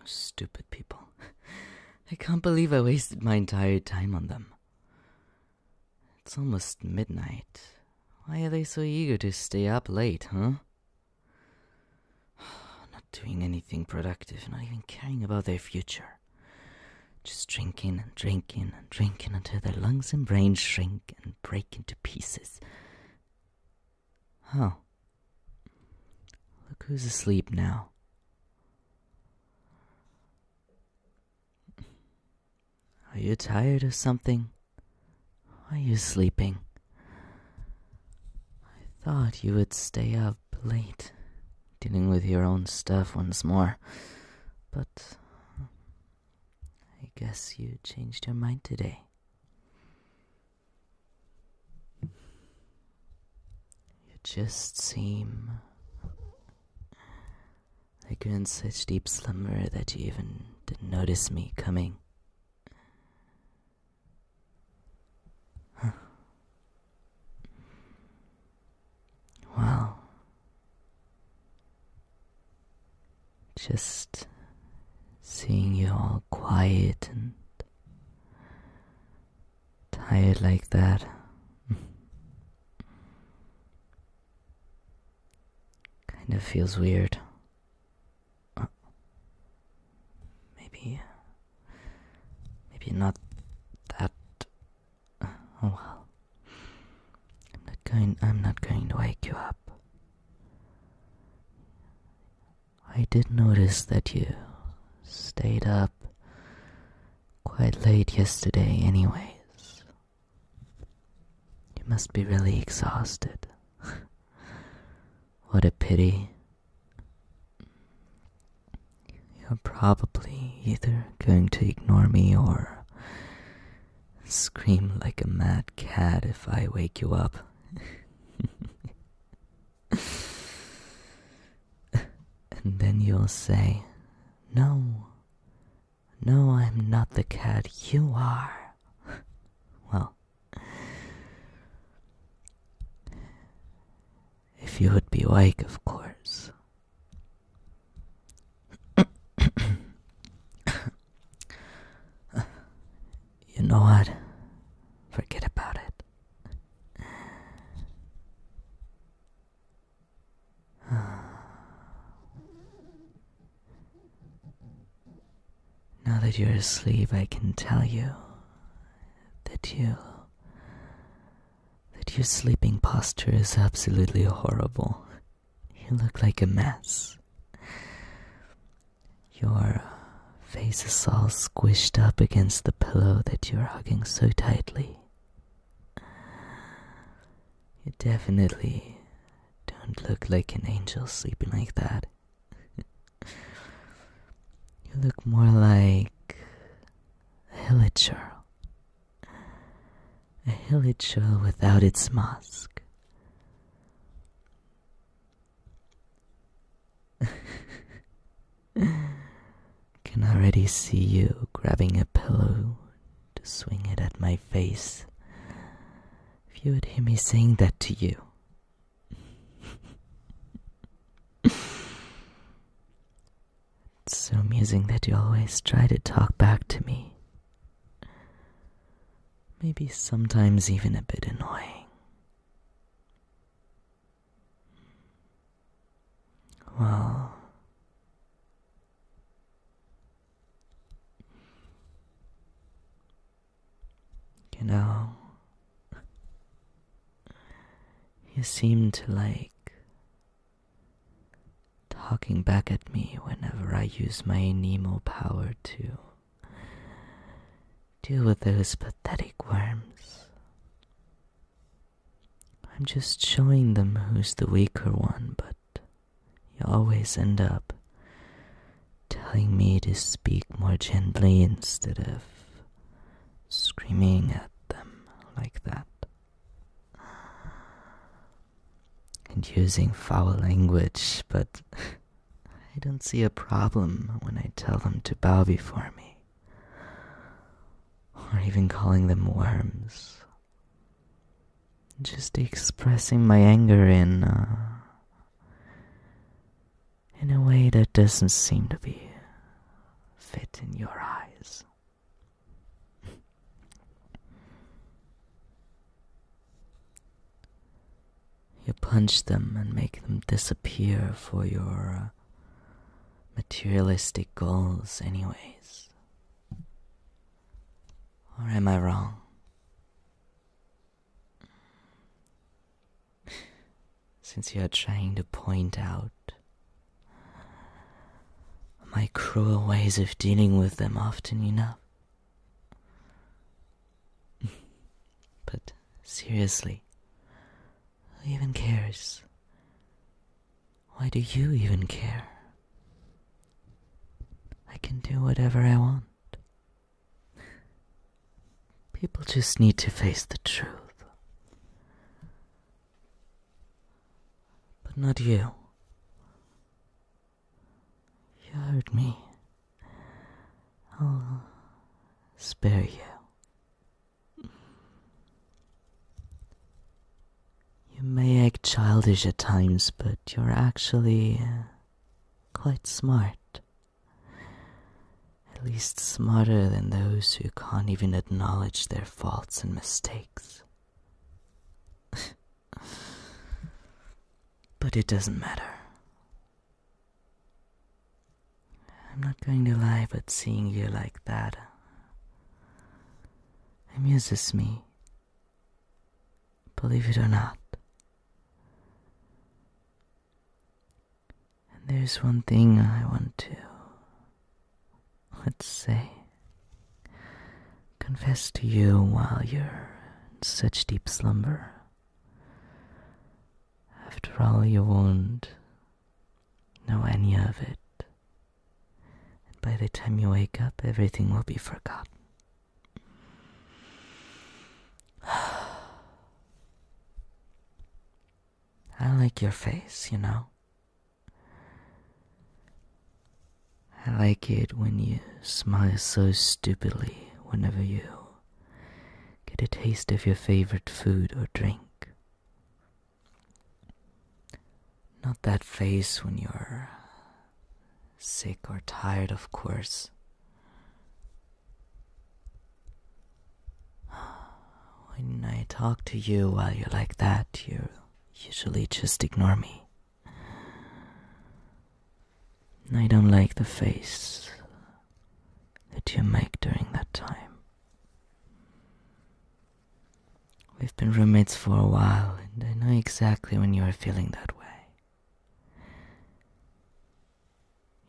Those stupid people. I can't believe I wasted my entire time on them. It's almost midnight. Why are they so eager to stay up late, huh? Not doing anything productive, not even caring about their future. Just drinking and drinking and drinking until their lungs and brains shrink and break into pieces Oh, Look who's asleep now. Are you tired of something? Are you sleeping? I thought you would stay up late, dealing with your own stuff once more, but I guess you changed your mind today. You just seem like you're in such deep slumber that you even didn't notice me coming. Well, just seeing you all quiet and tired like that. kind of feels weird. Uh, maybe. Maybe not that. oh well. I'm not going. I'm not going to wake you up. I did notice that you stayed up quite late yesterday, anyways. You must be really exhausted. what a pity. You're probably either going to ignore me or Scream like a mad cat if I wake you up. and then you'll say, No, no, I'm not the cat, you are. well, if you would be awake, of course. you know what? Forget about it. Now that you're asleep, I can tell you that you that your sleeping posture is absolutely horrible. You look like a mess. Your face is all squished up against the pillow that you're hugging so tightly. You definitely don't look like an angel sleeping like that. you look more like a village girl. A village girl without its mask. Can already see you grabbing a pillow to swing it at my face. If you would hear me saying that to you. it's so amusing that you always try to talk back to me maybe sometimes even a bit annoying. Well, you know, he seemed to like talking back at me whenever I use my Nemo power to deal with those pathetic worms. I'm just showing them who's the weaker one, but you always end up telling me to speak more gently instead of screaming at them like that and using foul language, but I don't see a problem when I tell them to bow before me, or even calling them worms. Just expressing my anger in. Uh, in a way that doesn't seem to be fit in your eyes. You punch them and make them disappear for your uh, materialistic goals, anyways. Or am I wrong? Since you are trying to point out my cruel ways of dealing with them often enough. but seriously, who even cares? Why do you even care? I can do whatever I want. People just need to face the truth. But not you. You hurt me. I'll spare you. You may act childish at times, but you're actually uh, quite smart. At least smarter than those who can't even acknowledge their faults and mistakes. But it doesn't matter. I'm not going to lie, but seeing you like that amuses me. Believe it or not. And there's one thing I want to, let's say, confess to you while you're in such deep slumber. After all, you won't know any of it, and by the time you wake up, everything will be forgotten. I like your face, you know. I like it when you smile so stupidly whenever you get a taste of your favorite food or drink. Not that face when you're sick or tired, of course. When I talk to you while you're like that, you usually just ignore me. I don't like the face that you make during that time. We've been roommates for a while, and I know exactly when you are feeling that way.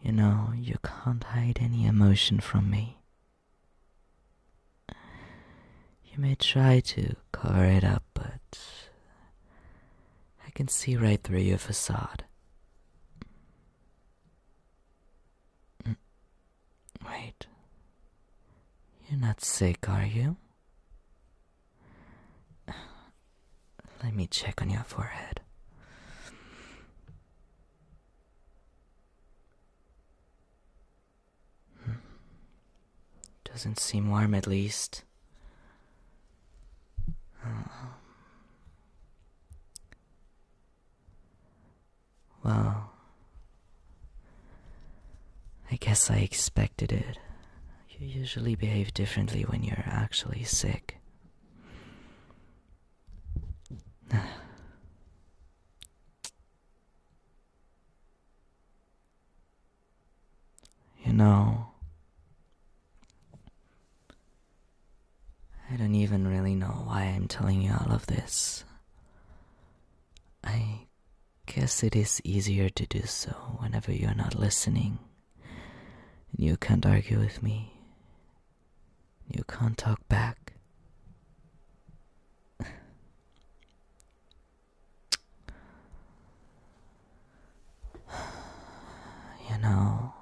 You know, you can't hide any emotion from me. You may try to cover it up but I can see right through your facade. Mm. Wait. You're not sick, are you? Let me check on your forehead. Hmm. Doesn't seem warm, at least. Um, well, I guess I expected it. You usually behave differently when you're actually sick. You know, I don't even really know why I'm telling you all of this. I guess it is easier to do so whenever you're not listening. And you can't argue with me. You can't talk back. You know,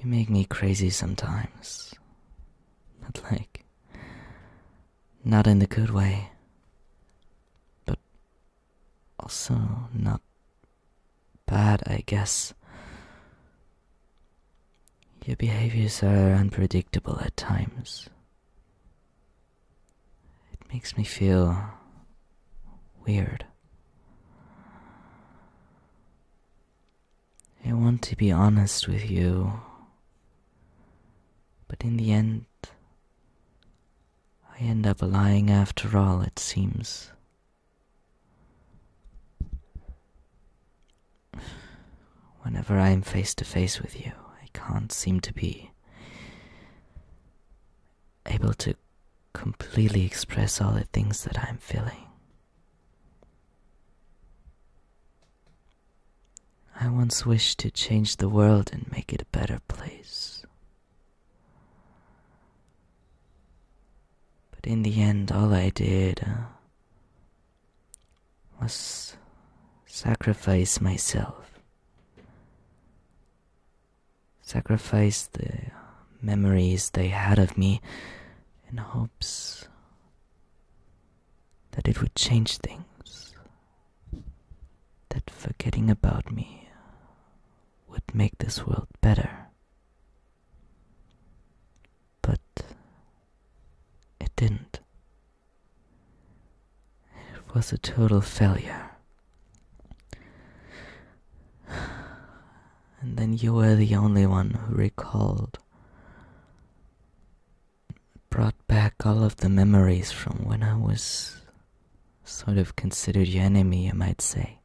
you make me crazy sometimes. But, like, not in the good way, but also not bad, I guess. Your behaviors are unpredictable at times. It makes me feel weird. I want to be honest with you, but in the end, I end up lying after all, it seems. Whenever I am face to face with you, I can't seem to be able to completely express all the things that I'm feeling. I once wished to change the world and make it a better place. But in the end, all I did uh, was sacrifice myself sacrifice the memories they had of me in hopes that it would change things, that forgetting about me would make this world better. But it didn't. It was a total failure. And then you were the only one who recalled. Brought back all of the memories from when I was sort of considered your enemy, I might say.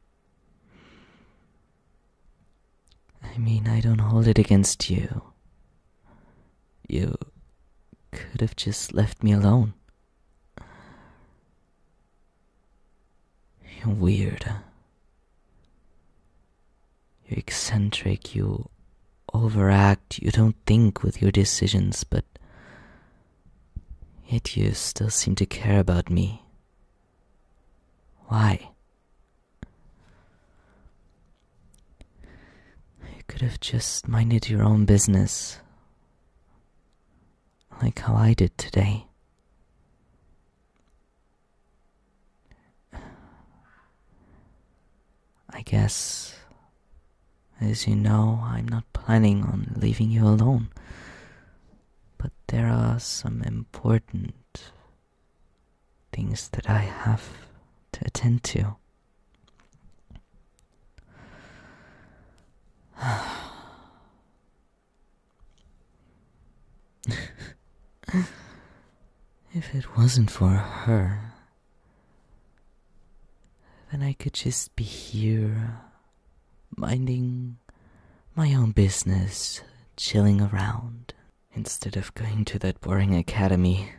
I mean, I don't hold it against you. You could have just left me alone. You're weird. You're eccentric, you overact, you don't think with your decisions, but yet you still seem to care about me. Why? You could have just minded your own business, like how I did today. I guess, as you know, I'm not planning on leaving you alone, but there are some important things that I have to attend to. if it wasn't for her, then I could just be here, minding my own business, chilling around, instead of going to that boring academy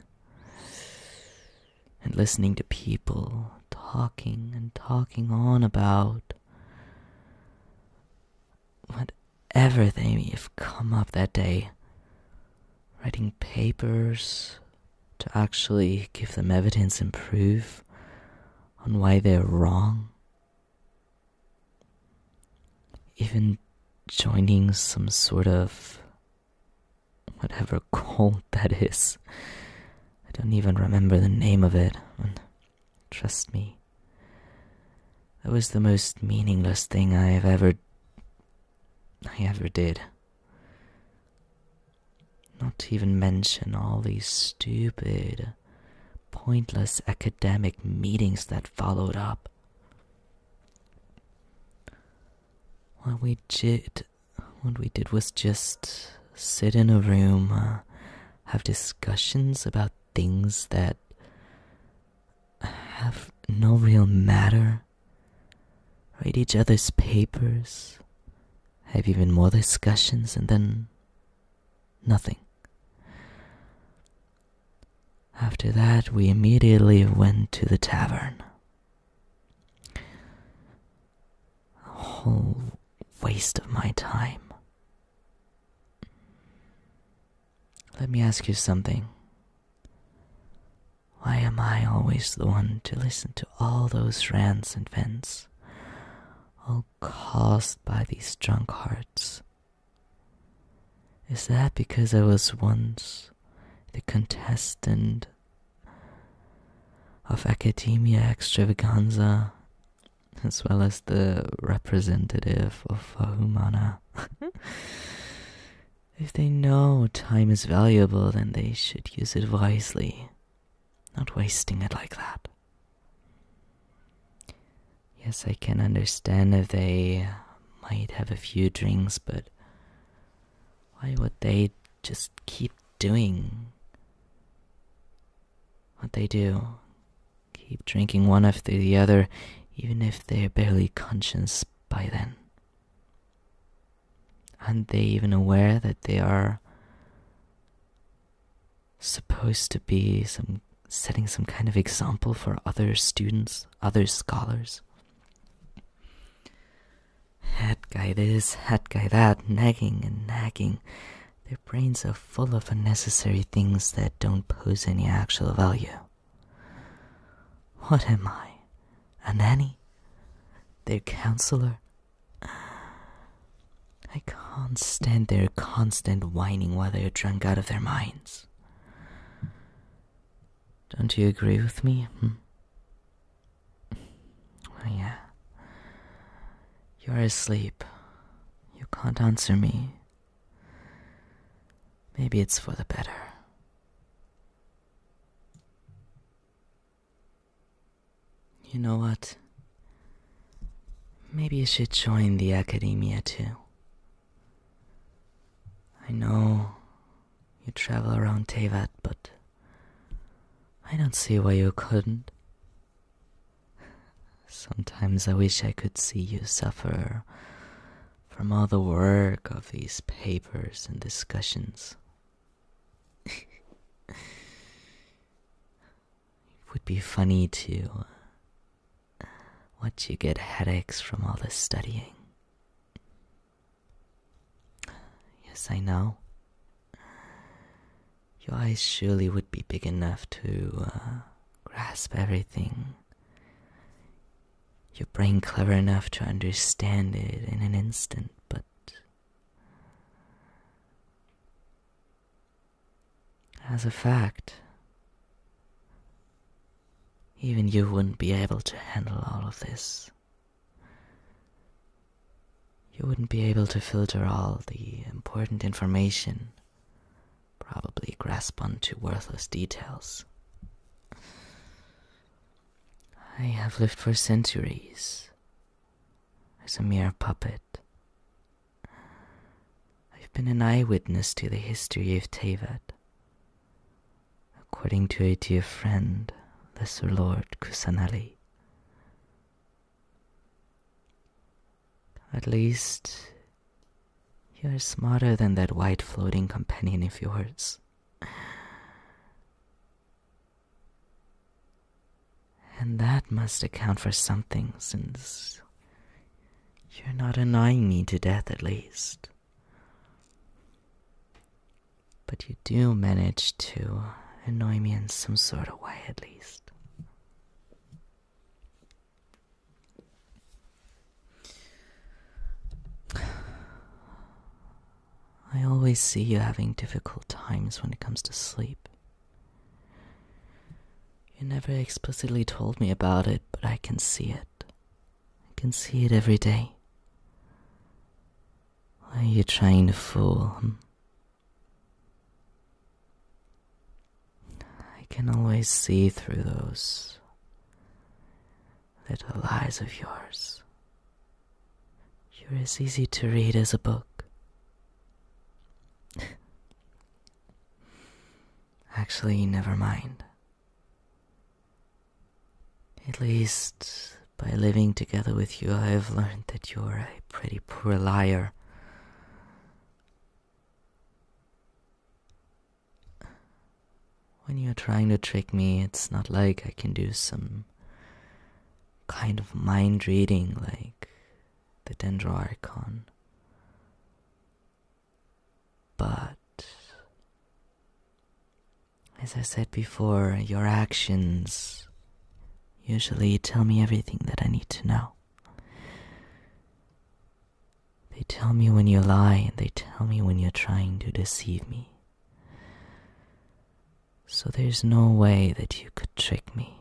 and listening to people talking and talking on about whatever they have come up that day, writing papers to actually give them evidence and proof on why they're wrong, even joining some sort of whatever cult that is. I don't even remember the name of it, and trust me, that was the most meaningless thing I have ever. I ever did. Not to even mention all these stupid, pointless academic meetings that followed up. While we jit what we did was just sit in a room, uh, have discussions about things that have no real matter, read each other's papers, have even more discussions, and then nothing. After that, we immediately went to the tavern. A whole waste of my time. Let me ask you something. Why am I always the one to listen to all those rants and vents, all caused by these drunkards? Is that because I was once the contestant of Academia Extravaganza, as well as the representative of Humana. Mm-hmm. if they know time is valuable, then they should use it wisely, not wasting it like that. Yes, I can understand if they might have a few drinks, but why would they just keep doing what they do? Keep drinking one after the other, even if they're barely conscious by then. Aren't they even aware that they are supposed to be some setting some kind of example for other students, other scholars? Head guy this, head guy that, nagging and nagging. Their brains are full of unnecessary things that don't pose any actual value. What am I? A nanny? Their counselor? I can't stand their constant whining while they are drunk out of their minds. Don't you agree with me? Hmm. Oh, yeah. You're asleep. You can't answer me. Maybe it's for the better. You know what? Maybe you should join the academia too. I know you travel around Teyvat, but I don't see why you couldn't. Sometimes I wish I could see you suffer from all the work of these papers and discussions. it would be funny to watch you get headaches from all this studying. Yes, I know. Your eyes surely would be big enough to uh, grasp everything. Your brain clever enough to understand it in an instant, but. As a fact, even you wouldn't be able to handle all of this. You wouldn't be able to filter all the important information, probably grasp onto worthless details. I have lived for centuries as a mere puppet. I've been an eyewitness to the history of Tevat, According to a dear friend, Lesser Lord Kusanali. At least you're smarter than that white floating companion of yours. And that must account for something, since you're not annoying me to death at least. But you do manage to annoy me in some sort of way, at least. I always see you having difficult times when it comes to sleep. You never explicitly told me about it, but I can see it. I can see it every day. Why are you trying to fool him? I can always see through those little lies of yours. You're as easy to read as a book. Actually, never mind. At least, by living together with you, I have learned that you're a pretty poor liar. When you're trying to trick me, it's not like I can do some kind of mind reading like the dendroarchon. But as I said before, your actions usually tell me everything that I need to know. They tell me when you lie, and they tell me when you're trying to deceive me. So there's no way that you could trick me.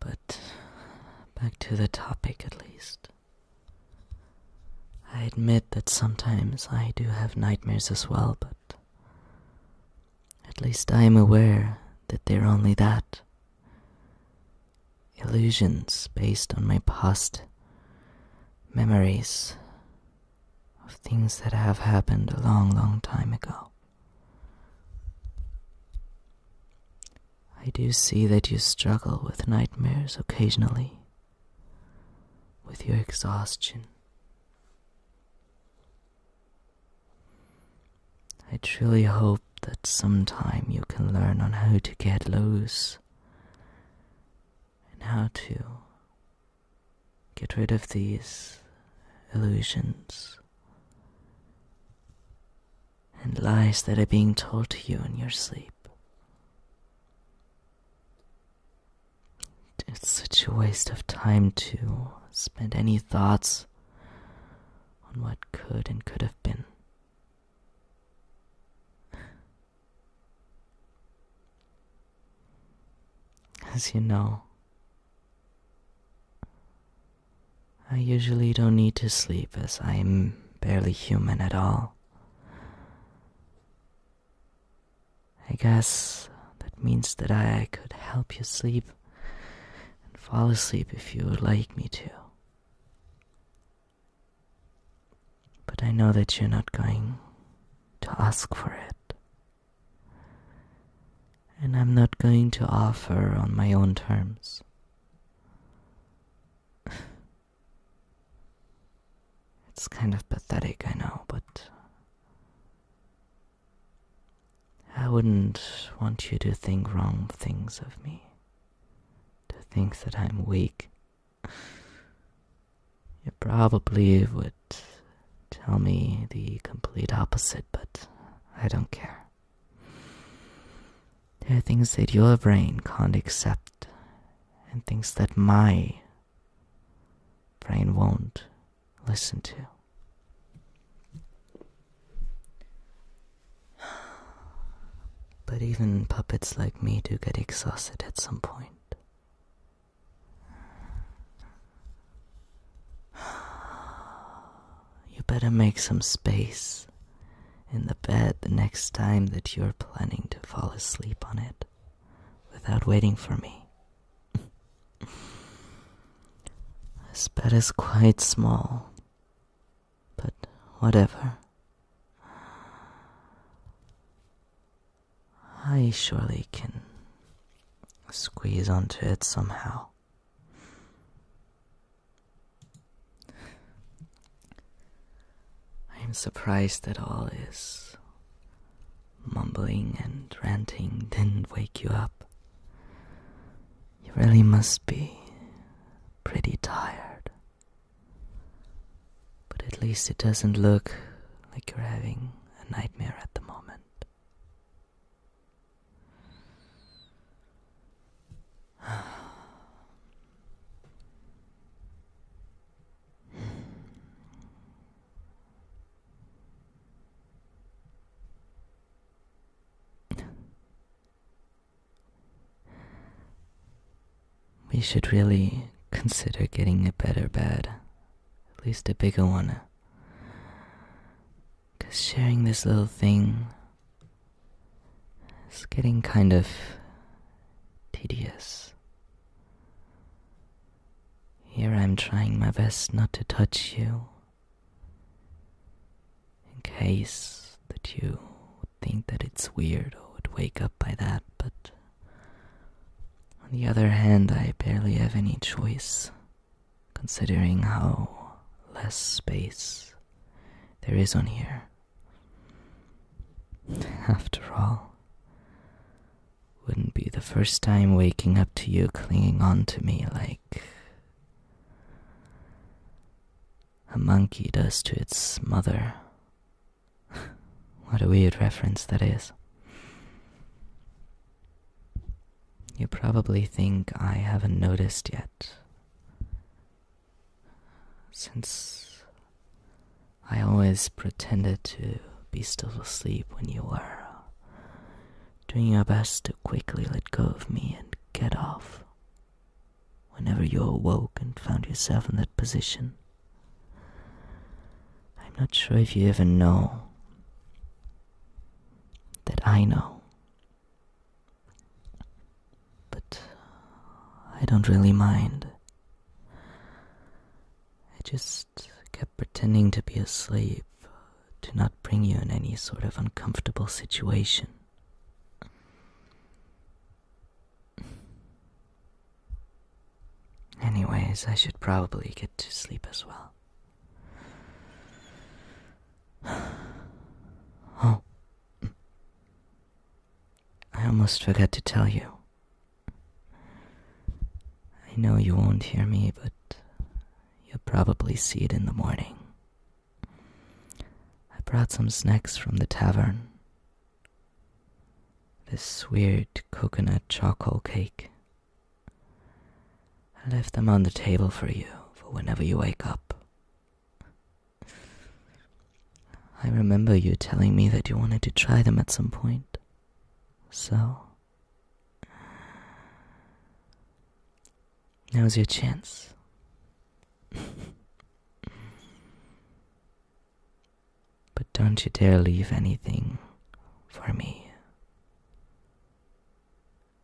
But back to the topic at least. I admit that sometimes I do have nightmares as well, but at least I am aware that they're only that illusions based on my past memories of things that have happened a long, long time ago. I do see that you struggle with nightmares occasionally, with your exhaustion. I truly hope that sometime you can learn on how to get loose and how to get rid of these illusions and lies that are being told to you in your sleep. It's such a waste of time to spend any thoughts on what could and could have been. As you know, I usually don't need to sleep as I'm barely human at all. I guess that means that I could help you sleep and fall asleep if you would like me to. But I know that you're not going to ask for it. And I'm not going to offer on my own terms. It's kind of pathetic, I know, but. I wouldn't want you to think wrong things of me. To think that I'm weak. You probably would tell me the complete opposite, but I don't care. There are things that your brain can't accept, and things that my brain won't listen to. But even puppets like me do get exhausted at some point. You better make some space in the bed the next time that you're planning to fall asleep on it without waiting for me. this bed is quite small, but whatever. I surely can squeeze onto it somehow. I am surprised that all this mumbling and ranting didn't wake you up. You really must be pretty tired. But at least it doesn't look like you're having a nightmare at the moment. we should really consider getting a better bed, at least a bigger one. Because sharing this little thing it's getting kind of tedious. Here I'm trying my best not to touch you. In case that you think that it's weird or would wake up by that, but on the other hand, I barely have any choice, considering how less space there is on here. After all, wouldn't be the first time waking up to you clinging on to me like a monkey does to its mother. what a weird reference that is. You probably think I haven't noticed yet. Since I always pretended to be still asleep when you were doing your best to quickly let go of me and get off. Whenever you awoke and found yourself in that position, I'm not sure if you even know that I know but uh, I don't really mind. I just kept pretending to be asleep to not bring you in any sort of uncomfortable situation. Anyways, I should probably get to sleep as well. Oh. I almost forgot to tell you. I know you won't hear me, but you'll probably see it in the morning. I brought some snacks from the tavern. This weird coconut charcoal cake. I left them on the table for you for whenever you wake up. I remember you telling me that you wanted to try them at some point. So. Now's your chance. but don't you dare leave anything for me.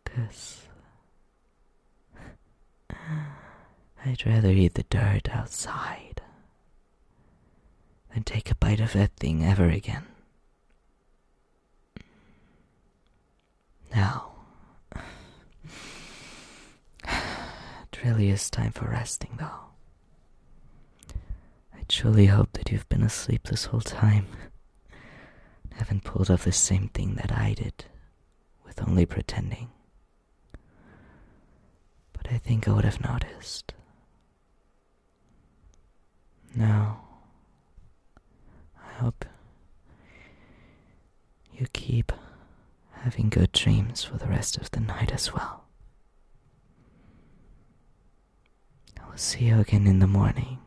Cause I'd rather eat the dirt outside than take a bite of that thing ever again. Now, it really is time for resting, though. I truly hope that you've been asleep this whole time haven't pulled off the same thing that I did with only pretending. But I think I would have noticed. Now, I hope you keep having good dreams for the rest of the night as well. I will see you again in the morning.